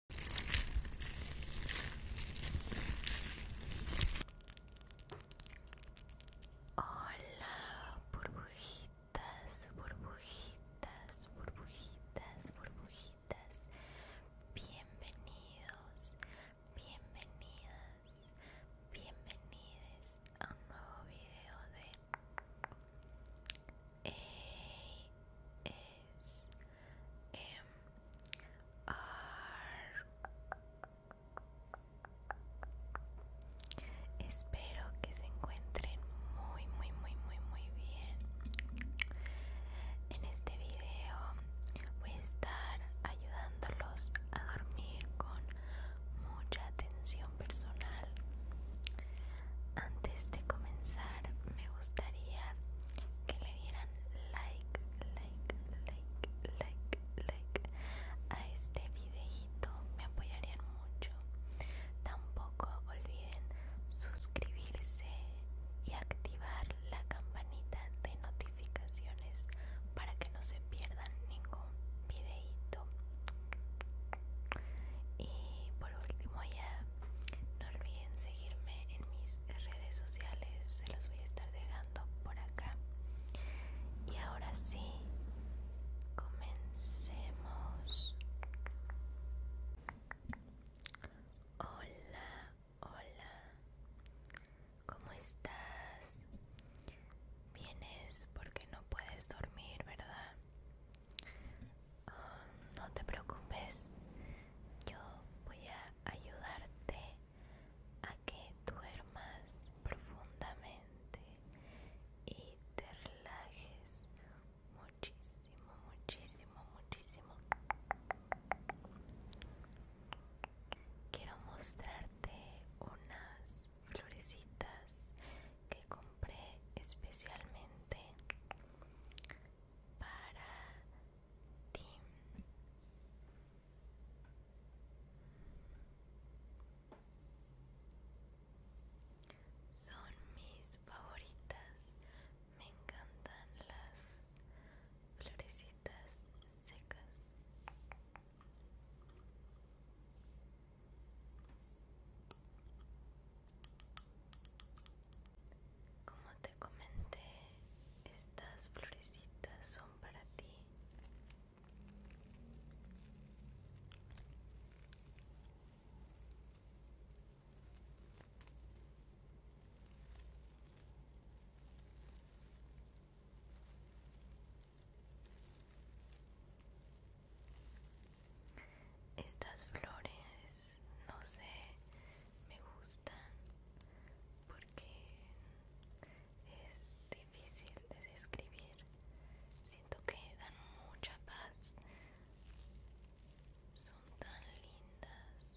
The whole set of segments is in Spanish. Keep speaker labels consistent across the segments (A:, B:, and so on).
A: Hola, burbujitas, burbujitas, burbujitas, burbujitas. Bienvenidos, bienvenidas, bienvenides a un nuevo video de a Espero que se encuentren muy muy muy muy muy bien. En este video voy a estar ayudándolos a dormir con mucha atención personal. Antes de comenzar, me gustaría que le dieran like, like, like, like, like a este videito, me apoyarían mucho. Tampoco olviden suscribirse y activar la campanita de notificaciones para que no se pierdan ningún videito. Y por último ya no olviden seguirme en mis redes sociales, se los voy a estar dejando por acá. Y ahora sí, comencemos. Hola, hola. ¿Cómo estás? Vienes porque no puedes dormir, ¿verdad? no te preocupes, yo voy a ayudarte a que duermas profundamente y te relajes muchísimo, muchísimo, muchísimo. Quiero mostrarte unas florecitas que compré especialmente para ti. Son mis favoritas, me encantan las florecitas secas. Como te comenté, estas florecitas son para ti. Estas flores, no sé, me gustan porque es difícil de describir. Siento que dan mucha paz. Son tan lindas.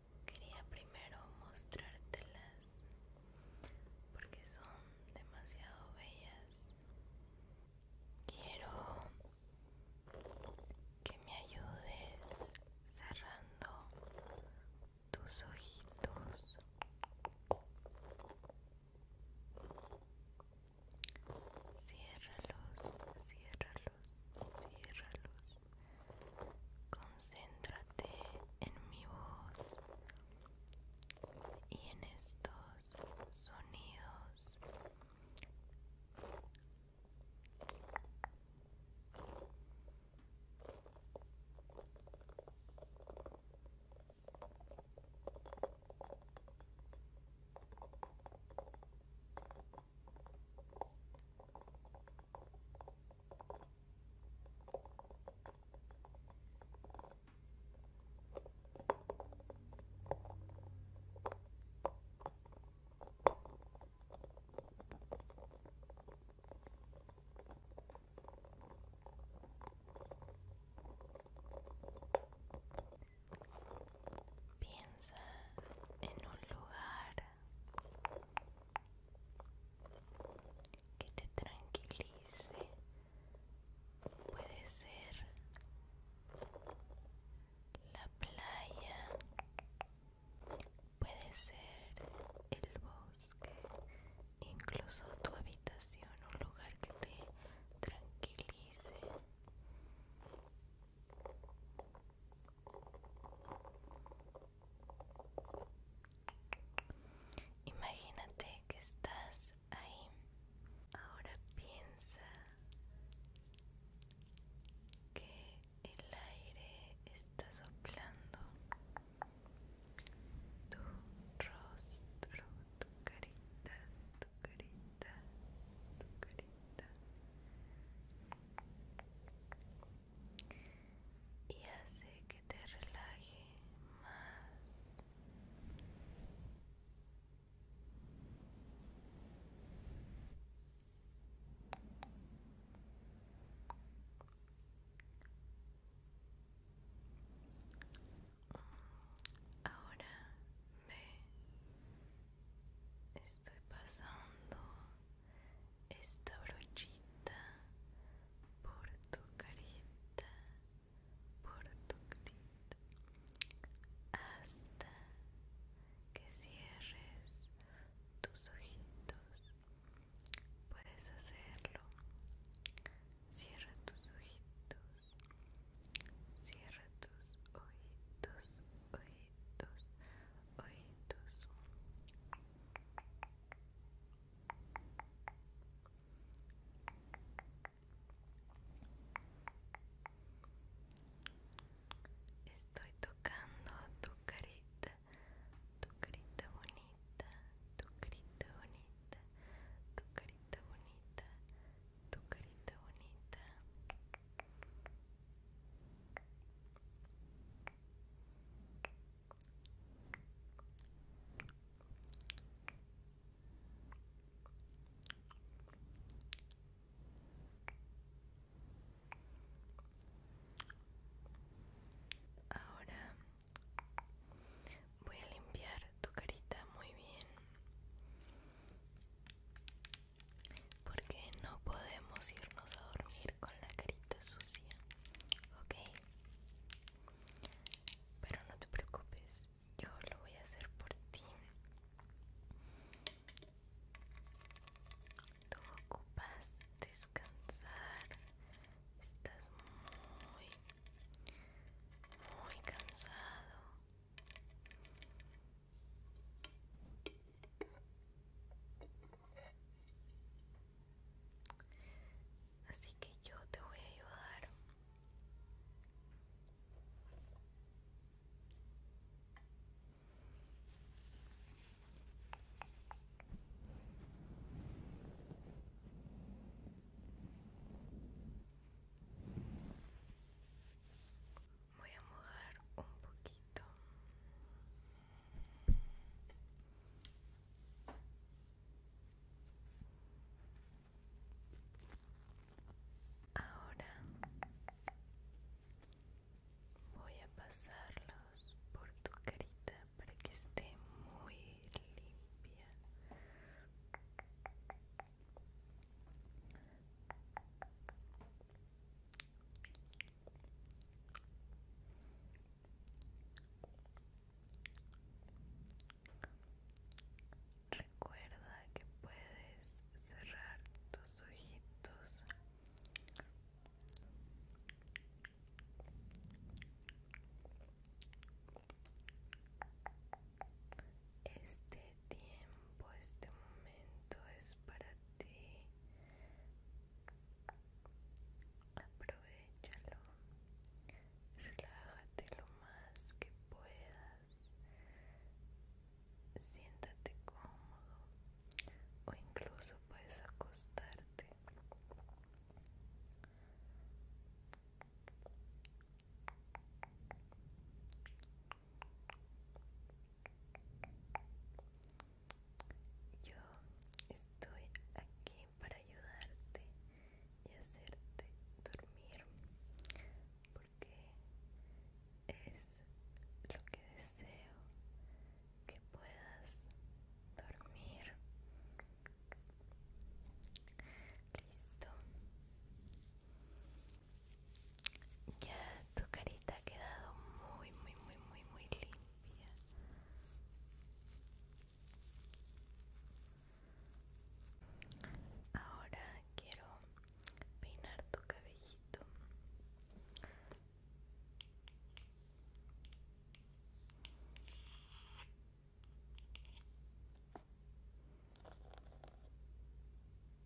A: quería primero mostrártelas porque son demasiado bellas. Quiero que me ayudes cerrando tus ojitos. Ciérralos, ciérralos, ciérralos. Concéntrate en mi voz y en estos sonidos. Piensa en un lugar que te tranquilice puede ser la playa puede ser el bosque incluso tu habitación un lugar que te tranquilice Imagínate que estás ahí. Ahora piensa que el aire está soplando tu rostro, tu carita, tu carita, tu carita y hace que te relaje más. Ahora ve estoy pasando esta brochita por tu carita, por tu carita, hasta que cierres tus ojitos. Puedes hacerlo. Cierra tus ojitos. Cierra tus ojitos, ojitos ojitos, Estoy tocando tu carita, tu carita bonita, tu carita bonita, tu carita bonita, tu carita bonita. Ahora voy a limpiar tu carita muy bien porque no podemos irnos a dormir con la carita sucia, ¿ok? Pero no te preocupes, yo lo voy a hacer por ti. Tú ocupas descansar, estás muy, muy cansado. Así que yo te voy a ayudar. Voy a mojar un poquito. Ahora voy a pasarlos por tu carita para que esté muy limpia. Recuerda que puedes cerrar tus ojitos. Este tiempo, este momento es para ti, Aprovechalo, relájate lo más que puedas, siéntate cómodo o incluso puedes acostarte. Yo estoy aquí para ayudarte y hacerte dormir porque es lo que deseo que puedas dormir listo ya tu carita ha quedado muy, muy, muy, muy, muy limpia. Ahora quiero peinar tu cabellito.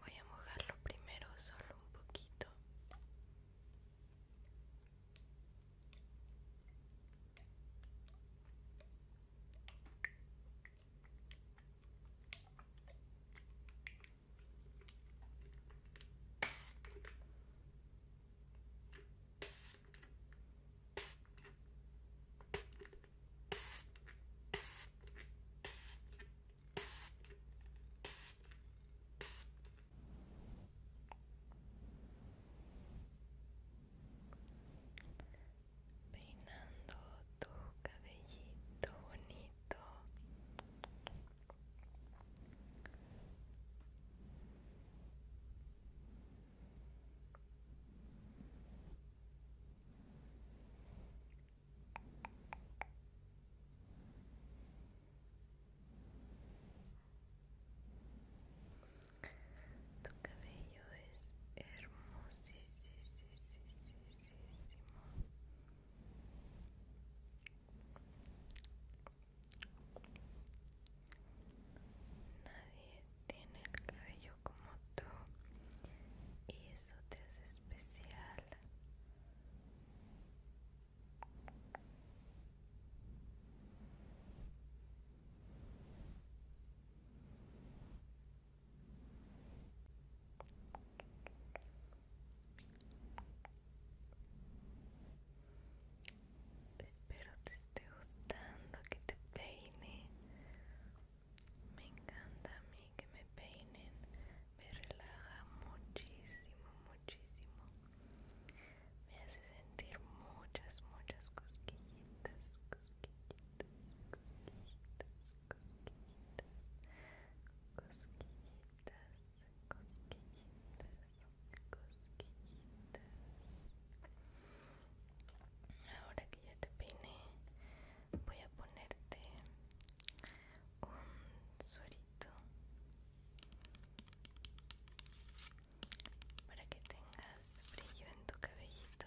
A: Voy a mojarlo primero solo un poquito. Peinando tu cabellito bonito. Tu cabello es hermosísimo. Nadie tiene el cabello como tú y eso te hace especial. Espero te esté gustando que te peine. Me encanta a mí que me peinen. Me relaja muchísimo, muchísimo. Me hace sentir muchas, muchas cosquillitas, cosquillitas, cosquillitas, cosquillitas, cosquillitas, cosquillitas ahora que ya te peiné voy a ponerte un suerito para que tengas brillo en tu cabellito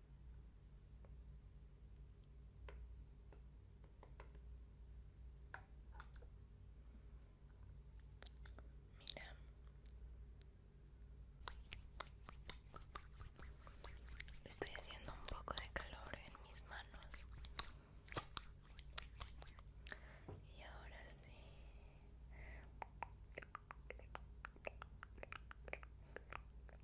A: Mira. Estoy haciendo un poco de calor en mis manos. Y ahora sí.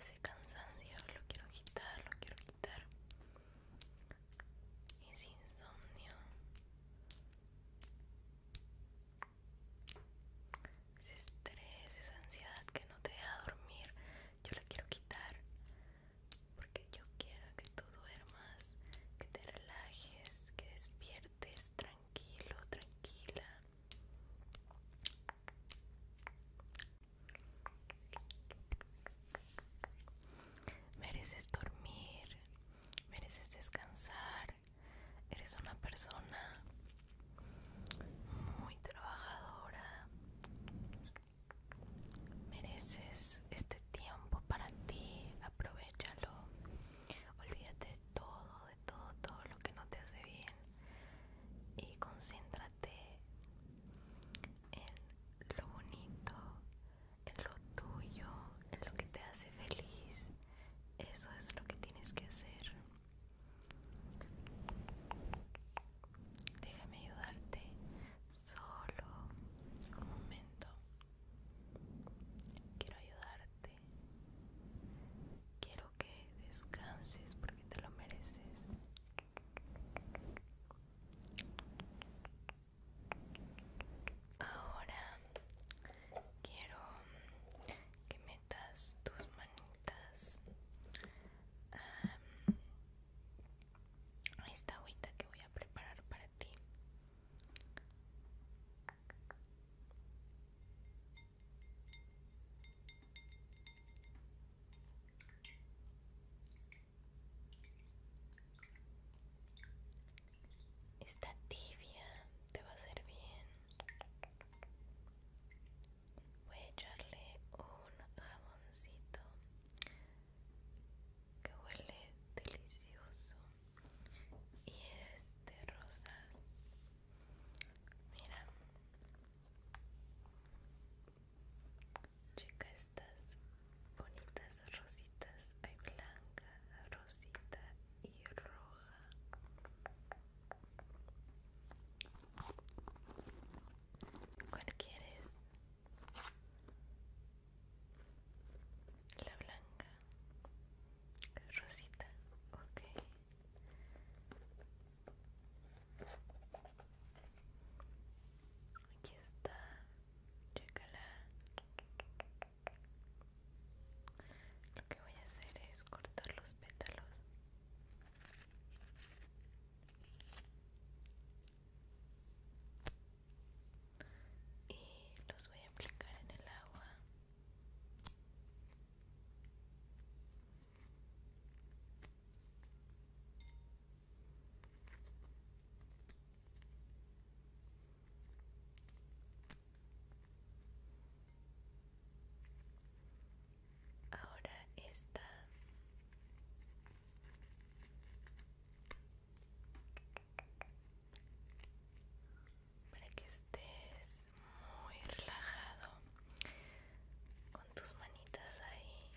A: Ese cansancio lo quiero quitar, lo quiero quitar. Ese insomnio ese estrés, esa ansiedad que no te deja dormir, yo la quiero quitar porque yo quiero que tú duermas, que te relajes, que despiertes tranquilo, tranquila. Mereces dormir, mereces descansar, Eres una persona muy trabajadora. Mereces este tiempo para ti. Aprovechalo. Olvídate de todo, de todo, todo lo que no te hace bien. Y concéntrate en lo bonito, en lo tuyo, en lo que te hace feliz. Eso es lo que tienes que hacer. Déjame ayudarte solo un momento. Quiero ayudarte. Quiero que descanses porque te lo mereces. Ahora quiero que me tus manitas. esta agüita que voy a preparar para ti. Está tibia, te va a ser bien voy a echarle un jamoncito que huele delicioso y es de rosas mira checa estas bonitas rositas hay blanca rosita y roja ¿Cuál quieres? La blanca, rosita, ok. Aquí está, chécala. Lo que voy a hacer es cortar los pétalos. Y los voy a aplicar en el agua. Ahora está para que estés muy relajado con tus manitas ahí.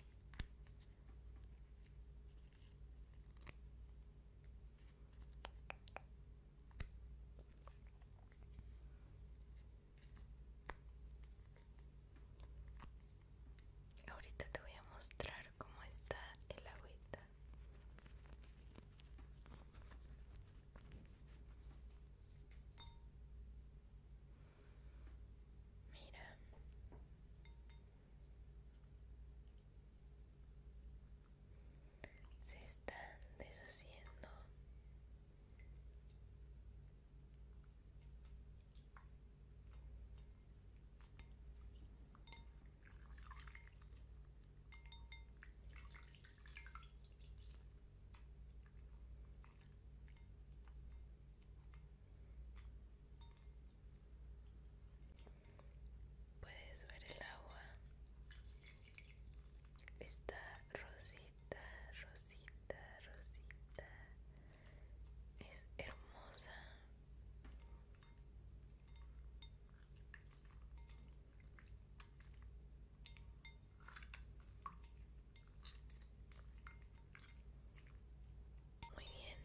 A: Ahorita te voy a mostrar cómo está el agüita. Mira se están deshaciendo Puedes ver el agua esta Rosita, Rosita, Rosita. Es hermosa. Muy bien.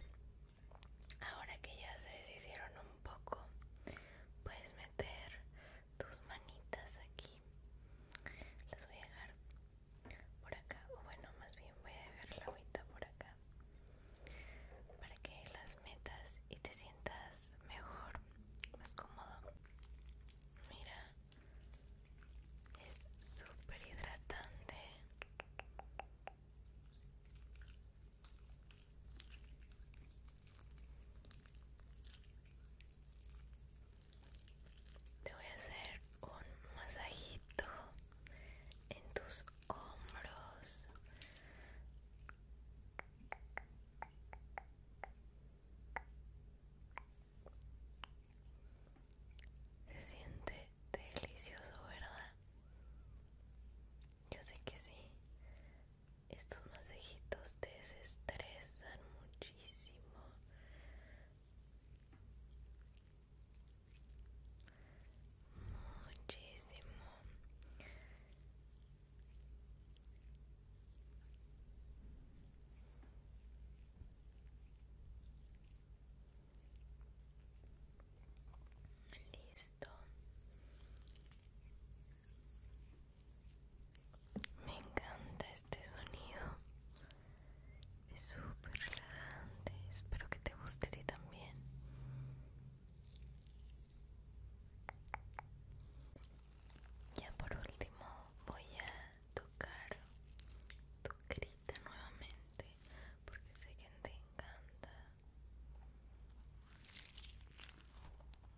A: Ahora que ya se deshicieron un poco, puedes meter tus manitas aquí las voy a dejar por acá o bueno más bien voy a dejar la agüita por acá para que las metas y te sientas mejor más cómodo mira es súper hidratante te voy a hacer un masajito en tus hombros. Se siente delicioso, ¿verdad? Yo sé que sí estos masajitos te desestresan muchísimo muchísimo listo me encanta este sonido. Es súper relajante. Espero que te guste a ti también. Ya por último voy a tocar tu carita nuevamente porque sé que te encanta.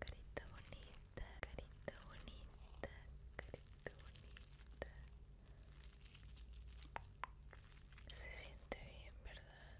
A: Carita bonita, carita bonita, carita bonita. Se siente bien, ¿verdad?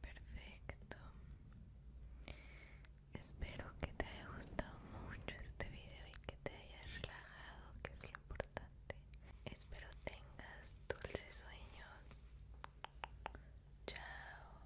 A: Perfecto. Espero que te haya gustado mucho este video y que te hayas relajado, que es lo importante. Espero tengas dulces sueños. Chao.